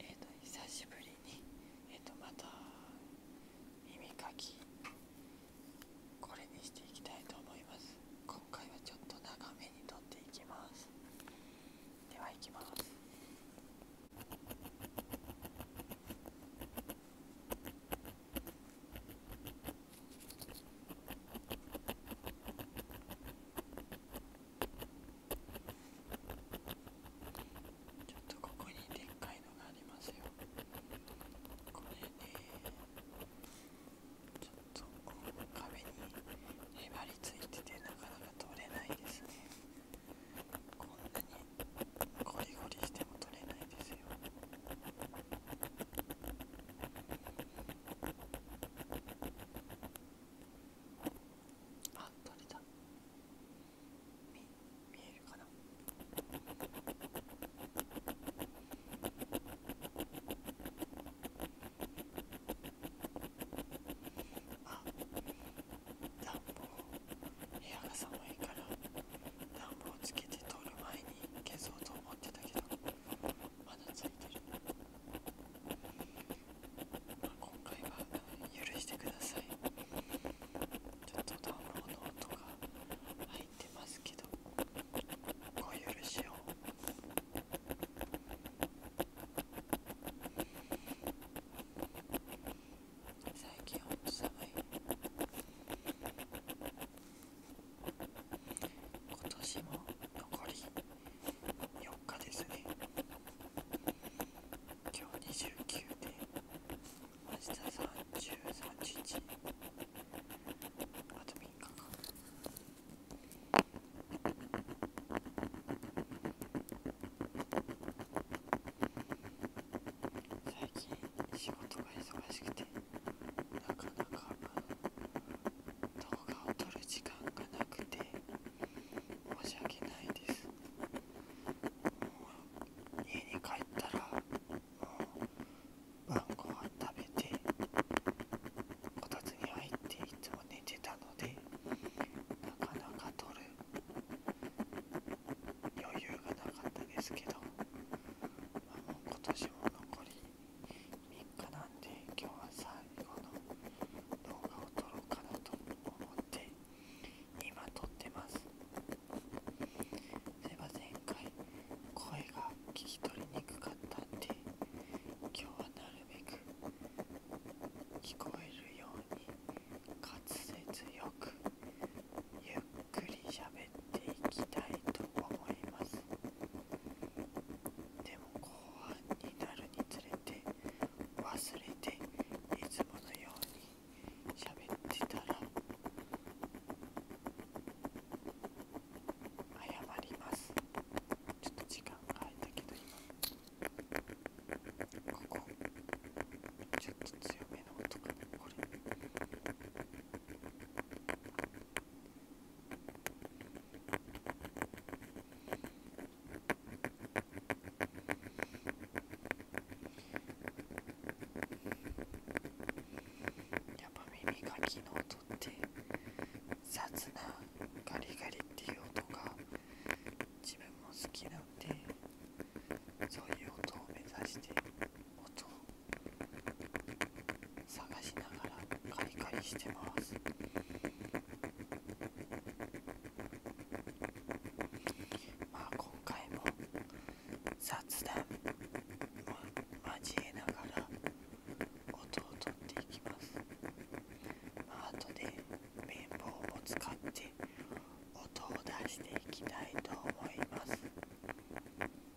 えっ、と久しぶりにえっ、とまた耳かきこれにしていきたいと思います今回はちょっと長めに撮っていきますではいきますちょっとここにでっかいのがありますよこれねちょっとこう壁にへばりついててなかなか取れないですねこんなにゴリゴリしても取れないですよこあ取れた見見えるかなあ暖房部屋が寒いから暖房つけて撮る前に消そうと思ってたけどまだついてる、あ、今回は許してくださいちょっとドウンロード音が入ってますけどご許しを最近はん寒い今年も残り4日ですね今日29で明日3031あと3日か最近仕事が忙しくてなかなか動画を撮る時間がなくて申し訳ないですもう家に帰ったらもう晩ご飯食べてこたつに入っていつも寝てたのでなかなか撮る余裕がなかったですけど、まあ、もう今年も残り3日なんで今日は最後の動画を撮ろうかなと思って今撮ってますでは前回声が聞き取りにくかったんで今日はなるべく聞こえるように滑舌よくゆっくり喋っていきたいと思いますでも半になるにつれて忘れていつものように喋ってたら謝りますちょっと時間変えたけど今ここちょっと強めの音かなこれやっぱ耳かきの音って雑なガリガリっていう音が自分も好きなのでそういう音を目指して音探しながらカリカリしてますまあ今回も雑談を交えながら音を取っていきますまあ後で綿棒を使って音を出していきたいと思います。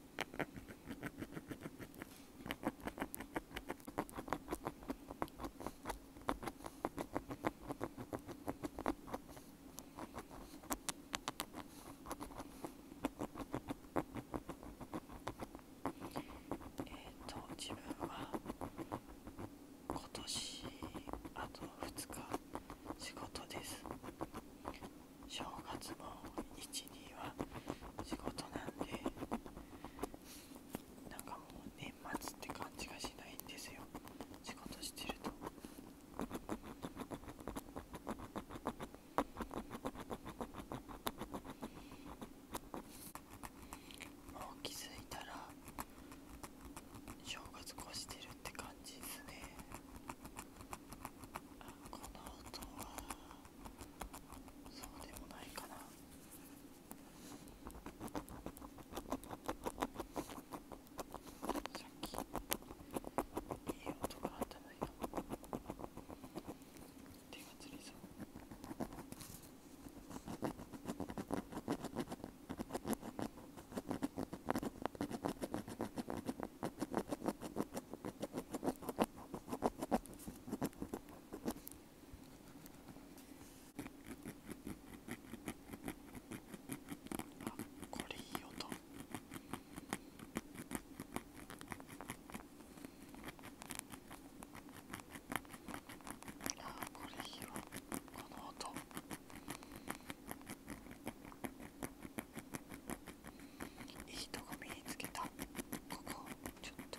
えっと自分は今年あと2日仕事です正月の日には仕事なんでなんかもう年末って感じがしないんですよ仕事してるともう気づいたら正月越してるって感じですねこの音はそうでもないかなさっきいい音があったのよ手がつりそうこあ、これいい音。あこれいいわこの音。いいとこ見つけたここちょっと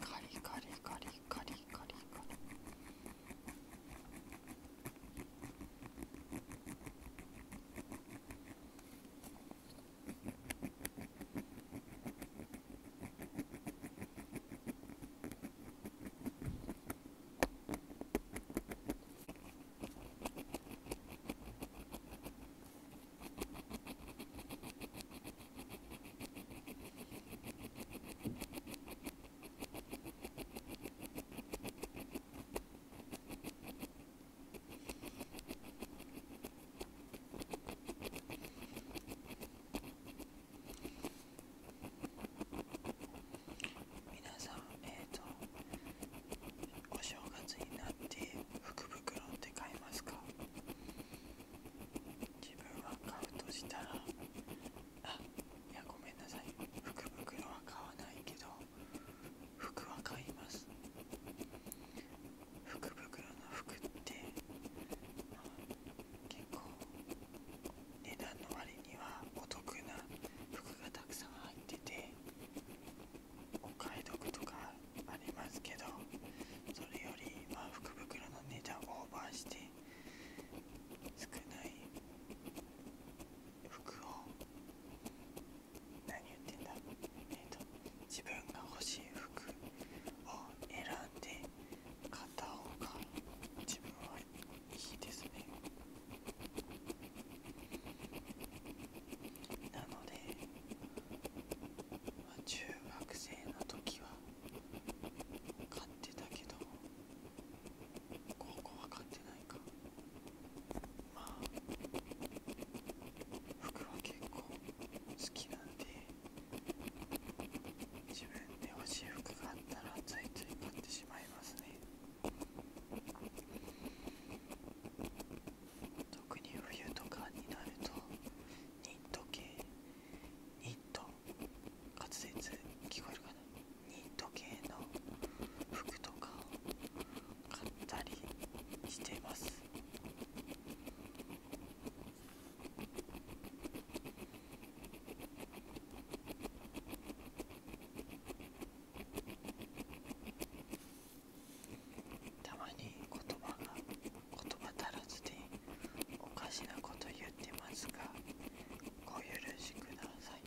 カリカリカリカリカリカリ皆さんえっ、とお正月になって福袋って買いますか自分は買うとしたらあいやごめんなさい福袋は買わないけど服は買います福袋の服って、結構値段の割にはお得な服がたくさん入っててお買い得とかありますけどそれよりまあ福袋の値段をオーバーして少ない服を何言ってんだえっ、と自分が欲しい服を選んで買った方が自分はいいですねなので、ま中学生の時は買ってたけど高校は買ってないかまあ服は結構好きなんで自分で欲しい服があったらついつ買ってしまいますね特に冬とかになるとニット系ニット滑舌聞こえるかなニット系の服とかを買ったりしてますたまに言葉が言葉足らずでおかしなこと言ってますがお許しください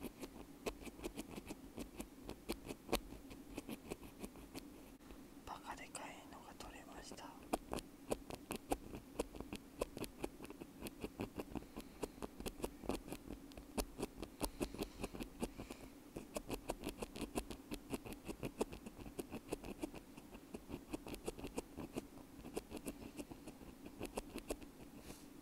「バカでかいのが取れました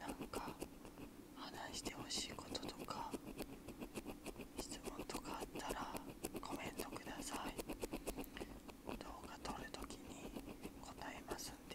なんか話してほしいこととか質問とかあったらコメントください動画撮るときに答えますんで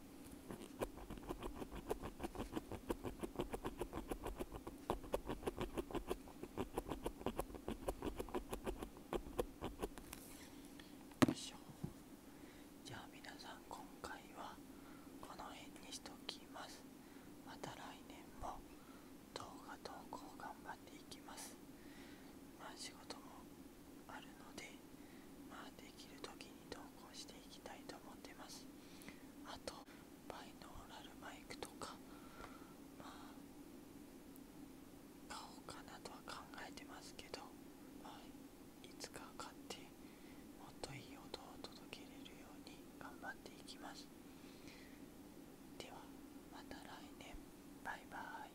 よいしょじゃあ皆さん今回はこの辺にしておきますまた来年も動画投稿頑張っていきますまあ仕事もあるのでまあできるときに。投稿していきたいと思ってますあとバイノーラルマイクとかまあ買おうかなとは考えてますけど、まあ、いつか買ってもっといい音を届けれるように頑張っていきますではまた来年バイバイ